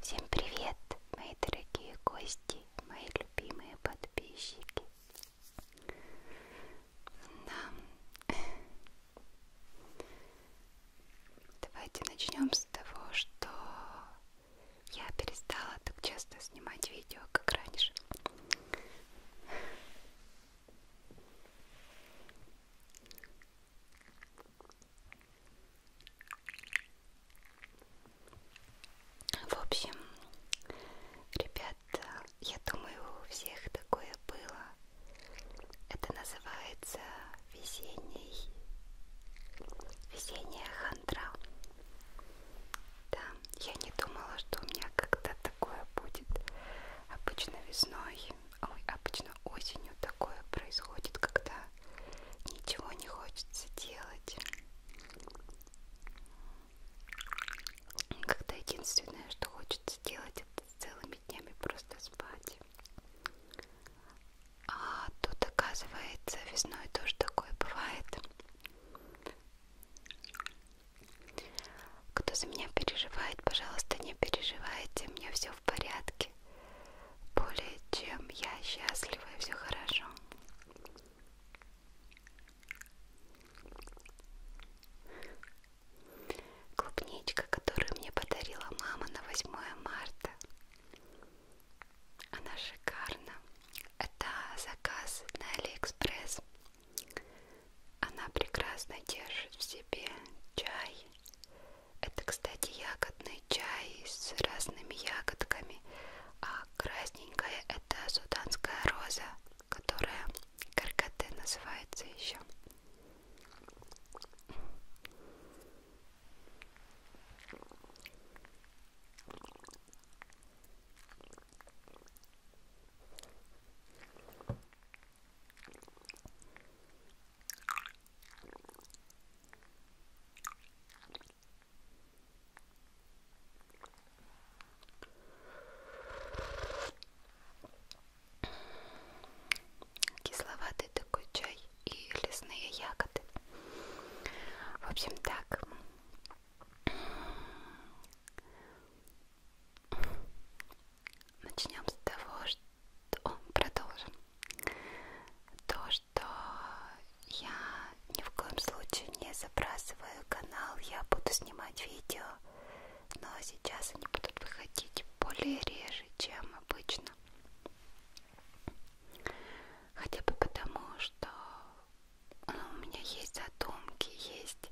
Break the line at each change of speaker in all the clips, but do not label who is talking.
Всем привет, мои дорогие гости, мои любимые подписчики. Да. Давайте начнем с того, что я перестала так часто снимать видео, как раньше. В общем, ребят, я думаю, у всех такое было. Это называется весенний весенняя хандра. Да, я не думала, что у меня когда такое будет. Обычно весной, ой, обычно осенью такое происходит, когда ничего не хочется делать. Когда единственное, что хочется делать, это целыми днями просто спать. А тут, оказывается, весной тоже такое бывает. Кто за меня переживает, пожалуйста, не переживайте, мне все в порядке. Более чем я счастлива и все хорошо. Клубничка, которую мне подарила мама на 8 марта. Она шикарна. Это заказ на Алиэкспресс. Она прекрасно держит в себе чай. Это, кстати, ягодный чай с разными ягодками. А красненькая это суданская роза, которая каркаты называется еще. Кисловатый такой чай и лесные ягоды. В общем, так Начнем с того, что О, продолжим. То, что я ни в коем случае не забрасываю канал, я буду снимать видео, но сейчас они будут выходить более реже, чем обычно. Хотя бы потому, что ну, у меня есть задумки, есть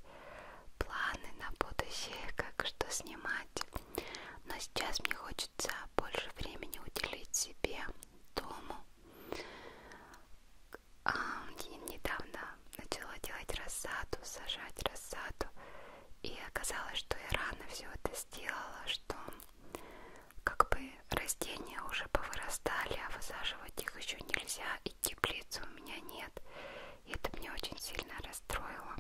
планы на будущее, как что снимать. Но сейчас мне хочется больше времени уделить себе, дому. А, недавно начала делать рассаду, сажать рассаду. И оказалось, что я рано все это сделала, что как бы растения уже повырастали, а высаживать их еще нельзя, и теплицы у меня нет. И это меня очень сильно расстроило.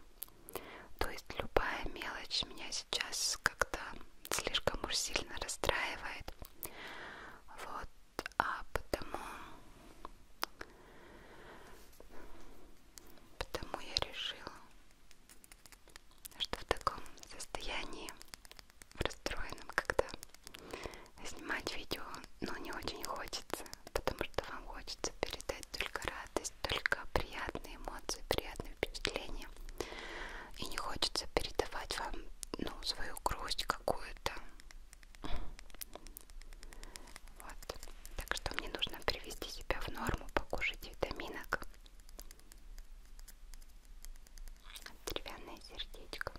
То есть любая мелочь меня сейчас как-то слишком уж сильно расстраивает. Вот, а потому... Потому я решила, что в таком состоянии расстроенным, когда снимать видео, но ну, не очень хочется, потому что вам хочется передать только радость, только приятные эмоции, приятные впечатления, и не хочется передавать вам, ну, свою грусть какую-то. Вот. Так что мне нужно привести себя в норму, покушать витаминок деревянное сердечко.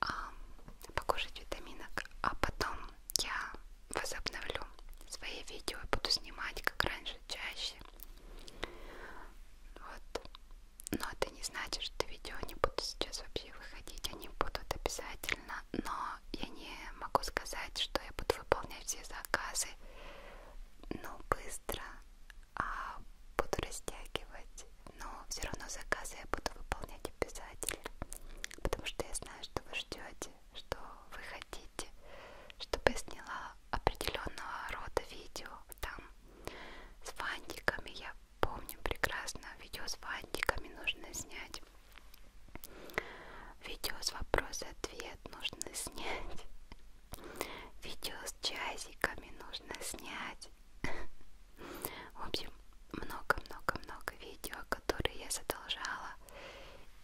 А, покушать витаминок, а потом я возобновлю свои видео и буду снимать, как раньше, чаще. Вот. Но это не значит, что видео не будут сейчас вообще выходить, они будут обязательно, но я не могу сказать, что я буду выполнять все заказы, но ну, быстро а буду растягивать, но все равно заказы я буду выполнять обязательно, потому что я знаю, что вы ждете, что вы хотите, чтобы я сняла определенного рода видео там с фантиками. Я помню прекрасно, видео с фантиками нужно снять, видео с вопрос-ответ нужно снять. Видео с часиками нужно снять. В общем, много-много-много видео, которые я задолжала.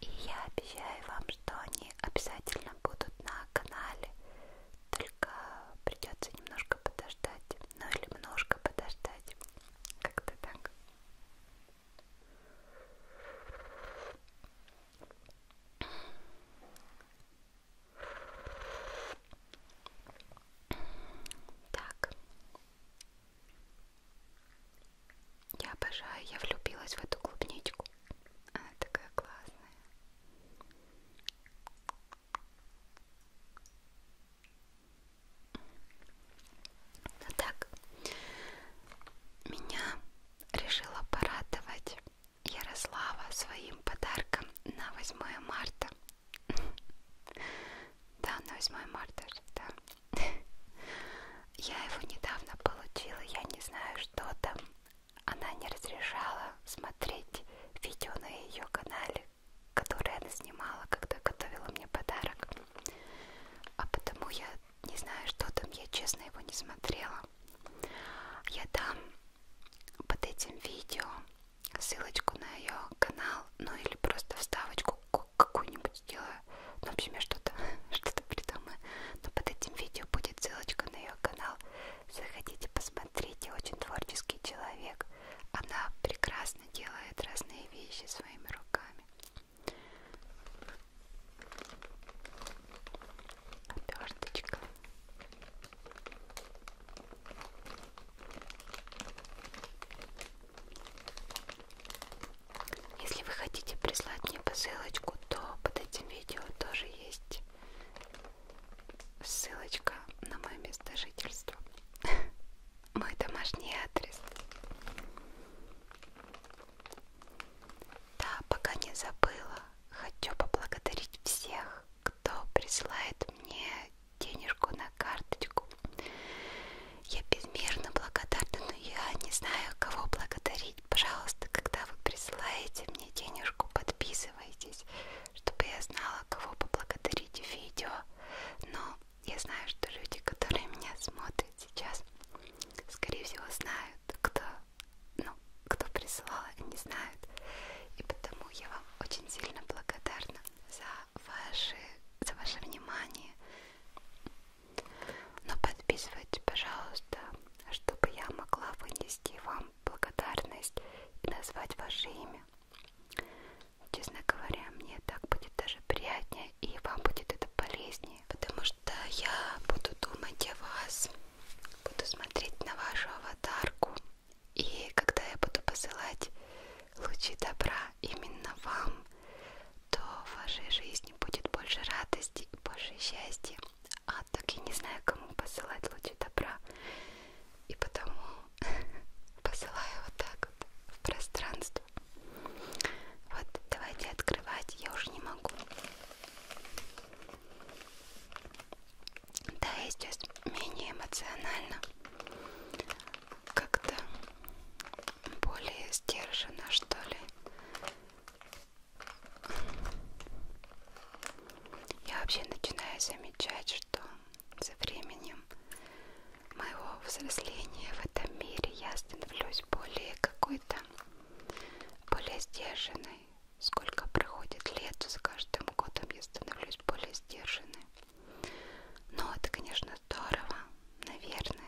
И я обещаю вам, что они обязательно будут на канале. Только придется немножко подождать. Ну или немножко подождать. Как-то так. Так. Я обожаю, я влюбилась в эту клубничку. Она такая классная. Ну так, меня решила порадовать Ярослава своим подарком на 8 марта. Да, на 8 марта, да. Я его недавно получила, я не знаю, что там. Она не разрешала смотреть видео на ее канале, которое она снимала, когда готовила мне подарок. А потому я не знаю, что там, я честно его не смотрела. Я там под этим видео ссылочку на ее канал, ну или просто вставочку какую-нибудь сделаю. Ну, в общем, я что-то что придумаю. Но под этим видео будет ссылочка на ее канал. Заходите, посмотрите, очень творческий человек. Она прекрасно делает разные вещи своими руками. Оберточка. Если вы хотите прислать мне посылочку, то под этим видео тоже есть ссылочка на мое место жительства. Мой домашний адрес. Да, пока не забыла, хочу поблагодарить всех, кто присылает мне денежку на карточку. Я безмерно благодарна, но я не знаю, кого благодарить. Пожалуйста, когда вы присылаете мне денежку, подписывайтесь, чтобы я знала, кого поблагодарить в видео. Но я знаю, что люди, которые меня смотрят сейчас, скорее всего, знают, кто, ну, кто прислал, не знают. И потому я вам очень сильно благодарна за, ваши, за ваше внимание. Но подписывайтесь, пожалуйста, чтобы я могла вынести вам благодарность и назвать ваше имя. Честно говоря, мне так будет даже приятнее и вам будет это полезнее, потому что я буду думать о вас, буду смотреть на вашу аватарку и когда я буду посылать лучи добра именно вам, то в вашей жизни будет больше радости и больше счастья. А так я не знаю, кому посылать лучи добра. И потому посылаю вот так вот в пространство. Вот, давайте открывать, я уже не могу. Да, я здесь менее эмоционально, как-то более сдержанно, что ли. Я вообще начинаю замечать, что со временем моего взросления в этом мире я становлюсь более какой-то более сдержанной, Сколько проходит лет, с каждым годом я становлюсь более сдержанной. Но это, конечно, здорово, наверное.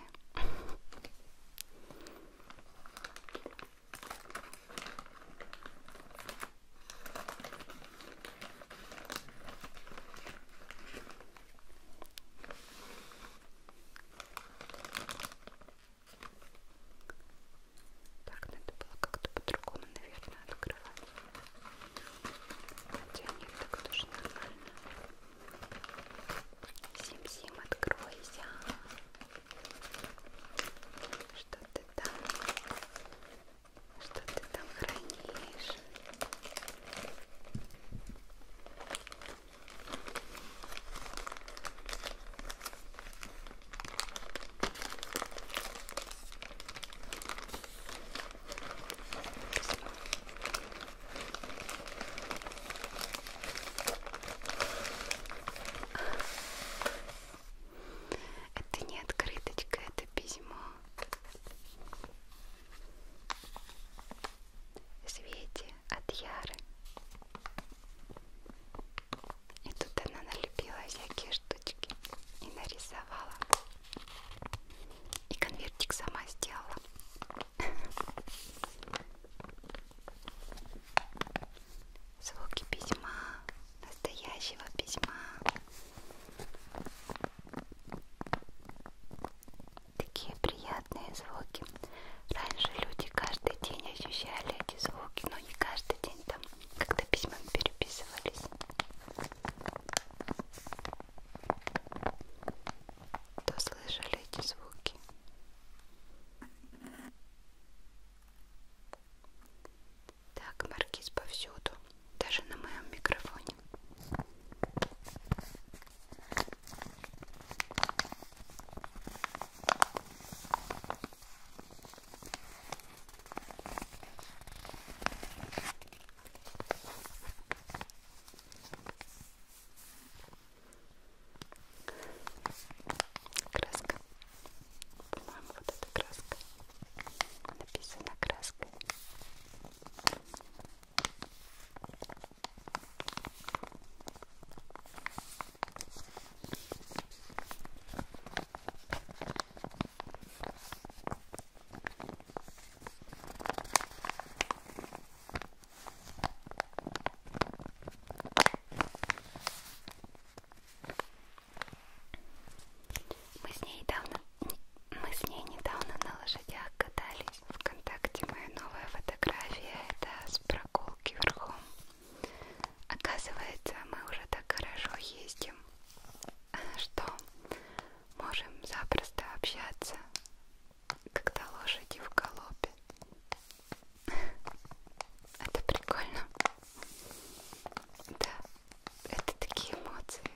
Так надо ну, было как-то по-другому, наверное, открывать. Хотя нет, так тоже нормально. Сим-сим, откройся. Что ты там? Что ты там хранишь? Это не открыточка, это письмо. Свете от Яры. И тут она налепила всякие штучки и нарисовала давала. И конвертик сама сделала. Звуки письма, настоящего письма. Такие приятные звуки. Раньше люди каждый день ощущали эти звуки, но не каждый день там, когда письма переписывались. Кто слышали эти звуки? Так, маркиз повсюду, даже на моем микрофоне. Краска. По-моему, вот эта краска. Написано краской. Мы с ней давно, мы с ней недавно на лошадях катались. Вконтакте моя новая фотография это с прогулки верхом. Оказывается, мы уже так хорошо ездим, что можем запросто общаться, когда лошади в галопе. Это прикольно. Да, это такие эмоции.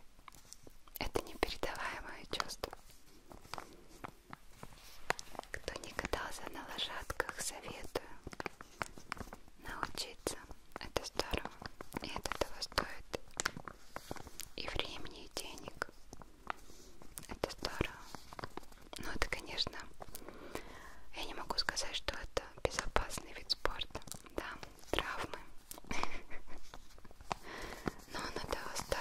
Это непередаваемое чувство. Кто не катался на лошадках, советую. Научись делается, это здорово, и это того стоит и времени, и денег. Это здорово. Ну, это, конечно, я не могу сказать, что это безопасный вид спорта, да, травмы, но оно того стоит.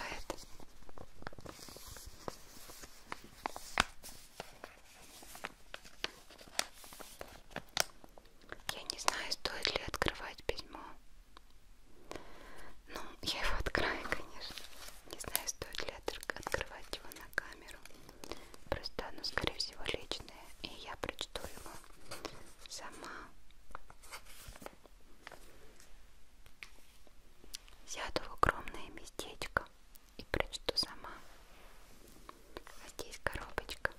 Я не знаю, стоит ли открывать письмо. Ну, я его открою, конечно. Не знаю, стоит ли открывать его на камеру. Просто оно, скорее всего, личное. И я прочту его сама. Сяду в огромное местечко и прочту сама. А здесь коробочка.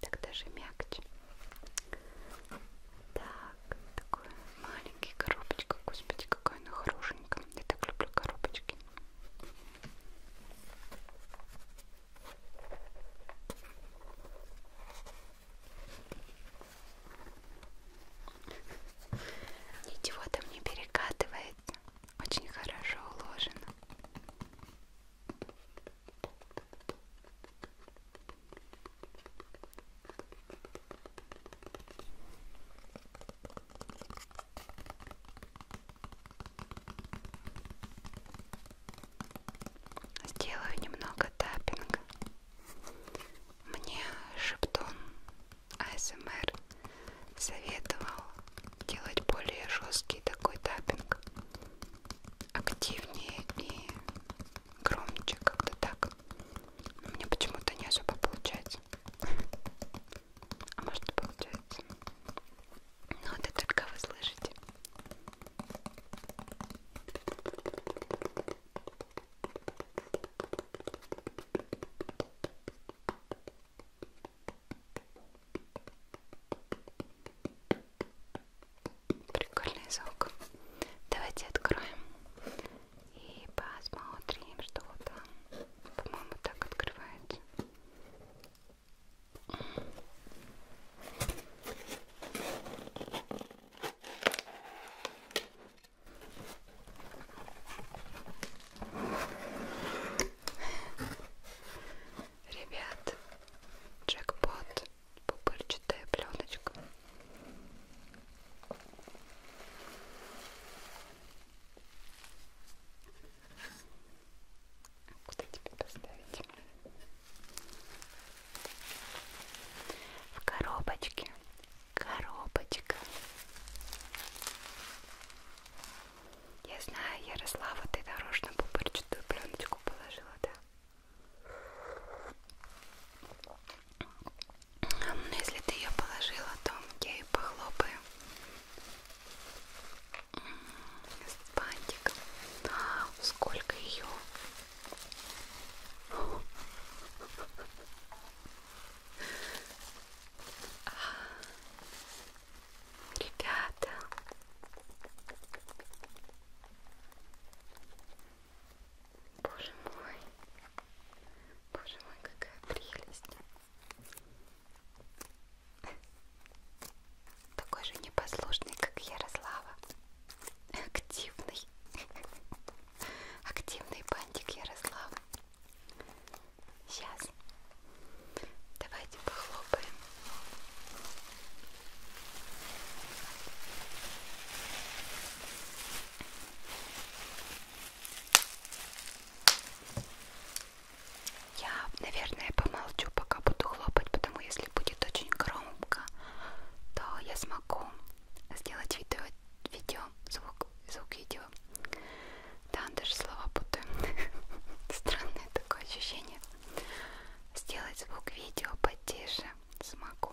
Так даже мягче. Так, такой маленький коробочка. Господи, какая она хорошенькая. Я так люблю коробочки. Ничего там не перекатывается кстати, очень хорошо уложено. Сделаю немного таппинга. Мне шептун АСМР советовал делать более жесткий такой таппинг, активнее и громче, как-то так. Но мне почему-то не особо получается. А может получается. Но ну, это только вы слышите. Прикольный звук. Давайте откроем и посмотрим, что там. По-моему, так открывается. Ребят, джекпот, пупырчатая пленочка. Куда тебе поставить? В коробочке. Коробочка. Я знаю, Ярослава, ты нарочно пупырчатую пленочку положила, да? Но если ты ее положила, то я ее похлопаю с бантиком. А, сколько ее? Ребята, боже мой, боже мой, какая прелесть! Такой же непослушный, как Ярослава. Активный. Активный бантик Ярослава. Сейчас. Давайте похлопаем. Я, наверное, помолчу, пока буду хлопать, потому если будет очень громко, то я смогу сделать видео, видео звук, звук видео. Да, даже слова путаю. Странное такое ощущение. Сделать звук видео потише смогу.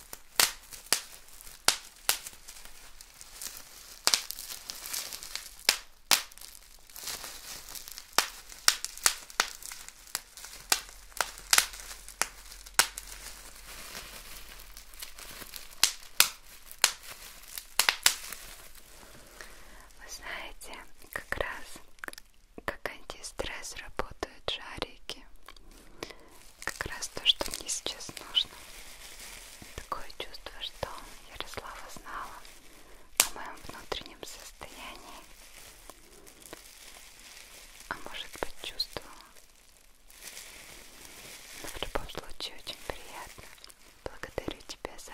Вы знаете, как раз как антистресс работают шарики как раз то, что мне сейчас нужно. Такое чувство, что Ярослава знала о моем внутреннем состоянии, а может быть чувствовала. Но в любом случае очень приятно. Благодарю тебя за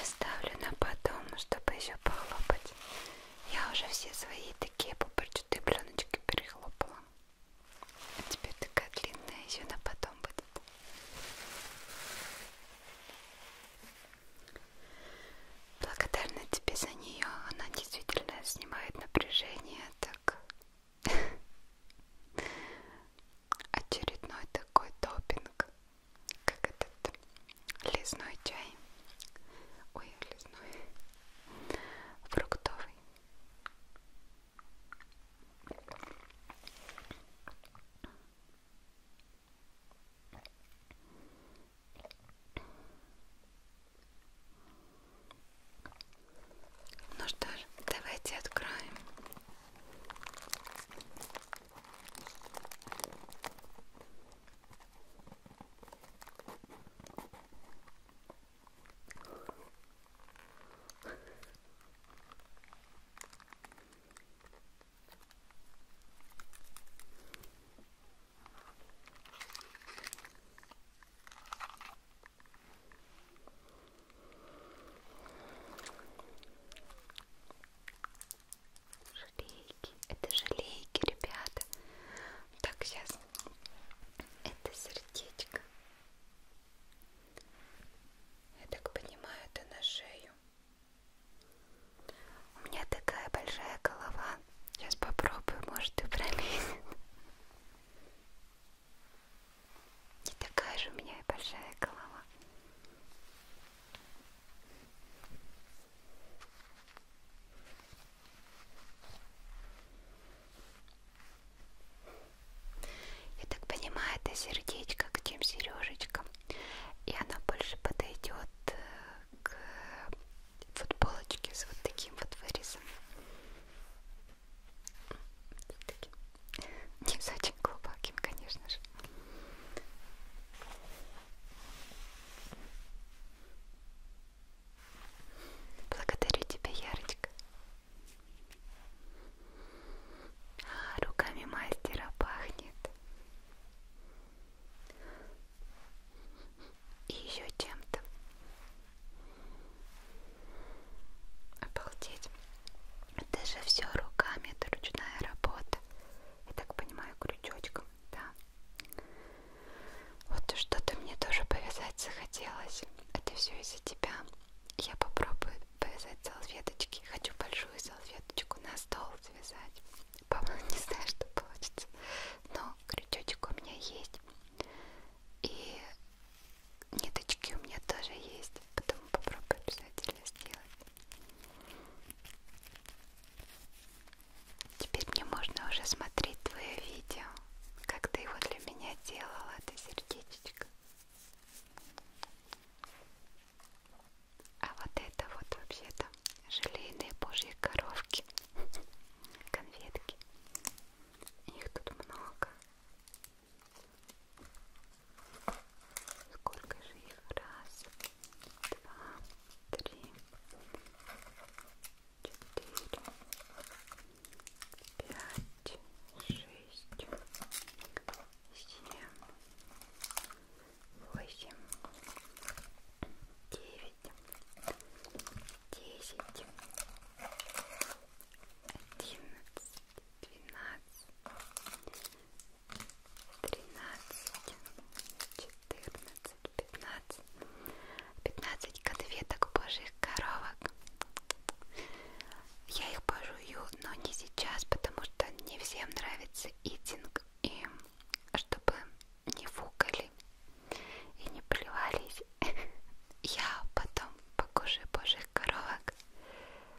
Оставлю на потом, чтобы еще похлопать. Я уже все свои такие пупорчатые пленочки перехлопала. А теперь такая длинная, еще на потом будет. Благодарна тебе за нее. Она действительно снимает напряжение. Так очередной такой топинг, как этот лесной чай. Ой, лесной. Фруктовый. Ну что ж, давайте откроем. Жалейки, это жалейки, ребята. Так, сейчас это сердечко. Я так понимаю, это на шею. У меня такая большая голова. Сейчас попробую, может и пролезет. Не такая же у меня и большая голова. Я так понимаю, это сердечко к чем сережечка. И она больше подойдет э, к футболочке с вот таким вот вырезом. Вот таким. Не с очень глубоким, конечно же. Благодарю тебя, Ярочка. А, руками мастера пахнет. И еще чем-то. Обалдеть. Это же все руками, это ручная работа. Я так понимаю, крючочком, да. Вот что-то мне тоже повязать захотелось это все из-за тебя. Я попробую повязать салфеточки. Хочу большую салфеточку на стол связать. По-моему, не знаю, что получится. Но крючочек у меня есть. И ниточки у меня тоже есть. Потом попробую обязательно сделать. Теперь мне можно уже смотреть твое видео, как ты его для меня делала. Ты сердечко. А вот это вот вообще-то желейные божьи коровки, конфетки. Их тут много. Сколько же их? Раз, два, три, четыре, пять, шесть, семь, восемь, девять, десять, одиннадцать, двенадцать, тринадцать, четырнадцать, пятнадцать, пятнадцать конфеток божьих коровок. Я их пожую, но не сейчас, потому что не всем нравится итинг, и чтобы не фукали и не плевались, я потом покушаю божьих коровок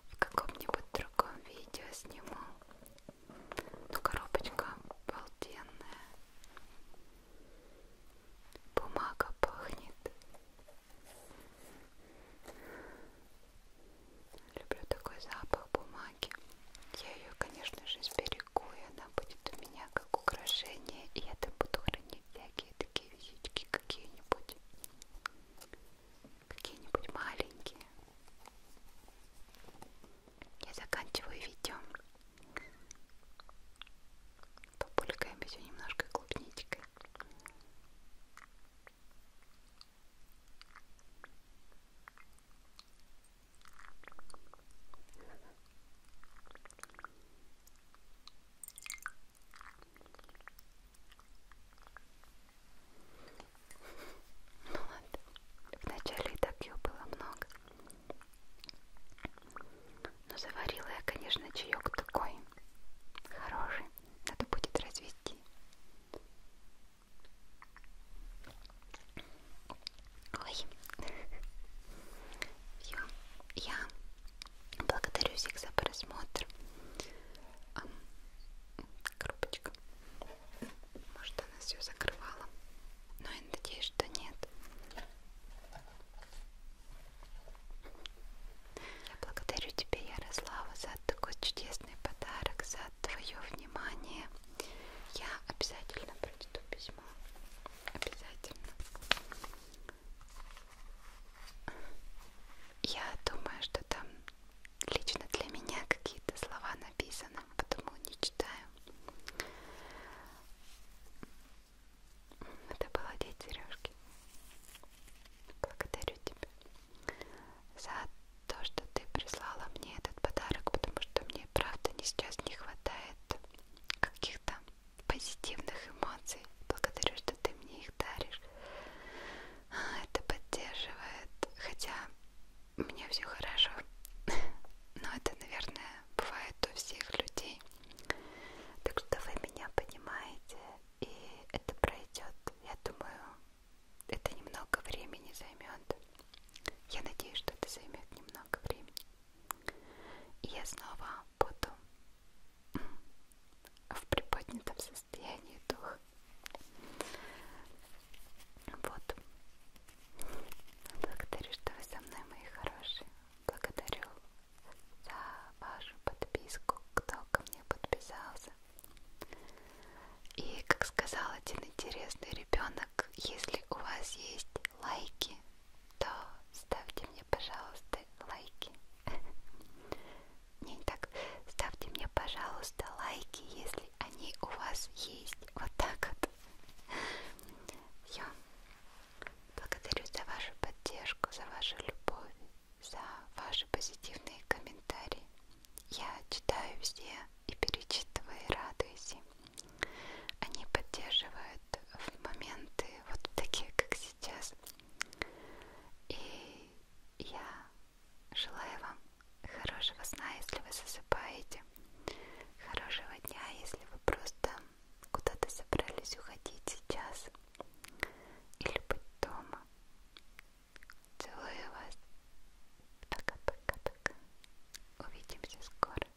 в каком-нибудь другом видео сниму. Ну, коробочка обалденная. Бумага пахнет. Люблю такой запах бумаги. Я ее, конечно же, сберегу, и она будет у меня как украшение, и я там буду хранить всякие такие визитки какие-нибудь. Какие-нибудь маленькие. Я заканчиваю видео популькаем еще немножко клубничкой. Ну ладно, вначале и так ее было много. Но заварила я, конечно, чаек такой хороший. Надо будет развести. Ой. Все. Я благодарю всех за просмотр. Коробочка. Может, она все закрывала. Но я надеюсь, что нет. Я благодарю тебя, Ярослава, за такой чудесный подарок, за твое внимание. Я обязательно прочту письмо. Обязательно. Я думаю, что там лично для меня какие-то слова написаны, потому не читаю. Надо было одеть сережки. Благодарю тебя за то, что ты прислала мне этот подарок, потому что мне правда не сейчас не хватает каких-то позитивных эмоций. Благодарю, что ты мне их даришь. Это поддерживает. Хотя у меня все хорошо. Но это, наверное, бывает у всех людей. Так что вы меня понимаете и это пройдет. Я думаю, это немного времени займет. Я надеюсь, что это займет немного времени. И я снова буду в приподнятом состоянии духа. Вот. Благодарю, что вы со мной, мои хорошие. Благодарю за вашу подписку, кто ко мне подписался. И, как сказал один интересный ребенок, если у вас есть лайки, то ставьте мне, пожалуйста, лайки. Не так, ставьте мне, пожалуйста, лайки, если они у вас есть. Вот так вот. Все. Благодарю за вашу поддержку, за вашу любовь, за ваши позитивные комментарии. Я читаю все и перечитываю и радуюсь им. Они поддерживают в моменты вот такие, как сейчас. И я желаю вам хорошего сна, если вы засыпаете, хорошего дня, если вы просто куда-то собрались уходить сейчас, или быть дома. Целую вас. Пока-пока-пока. Увидимся скоро.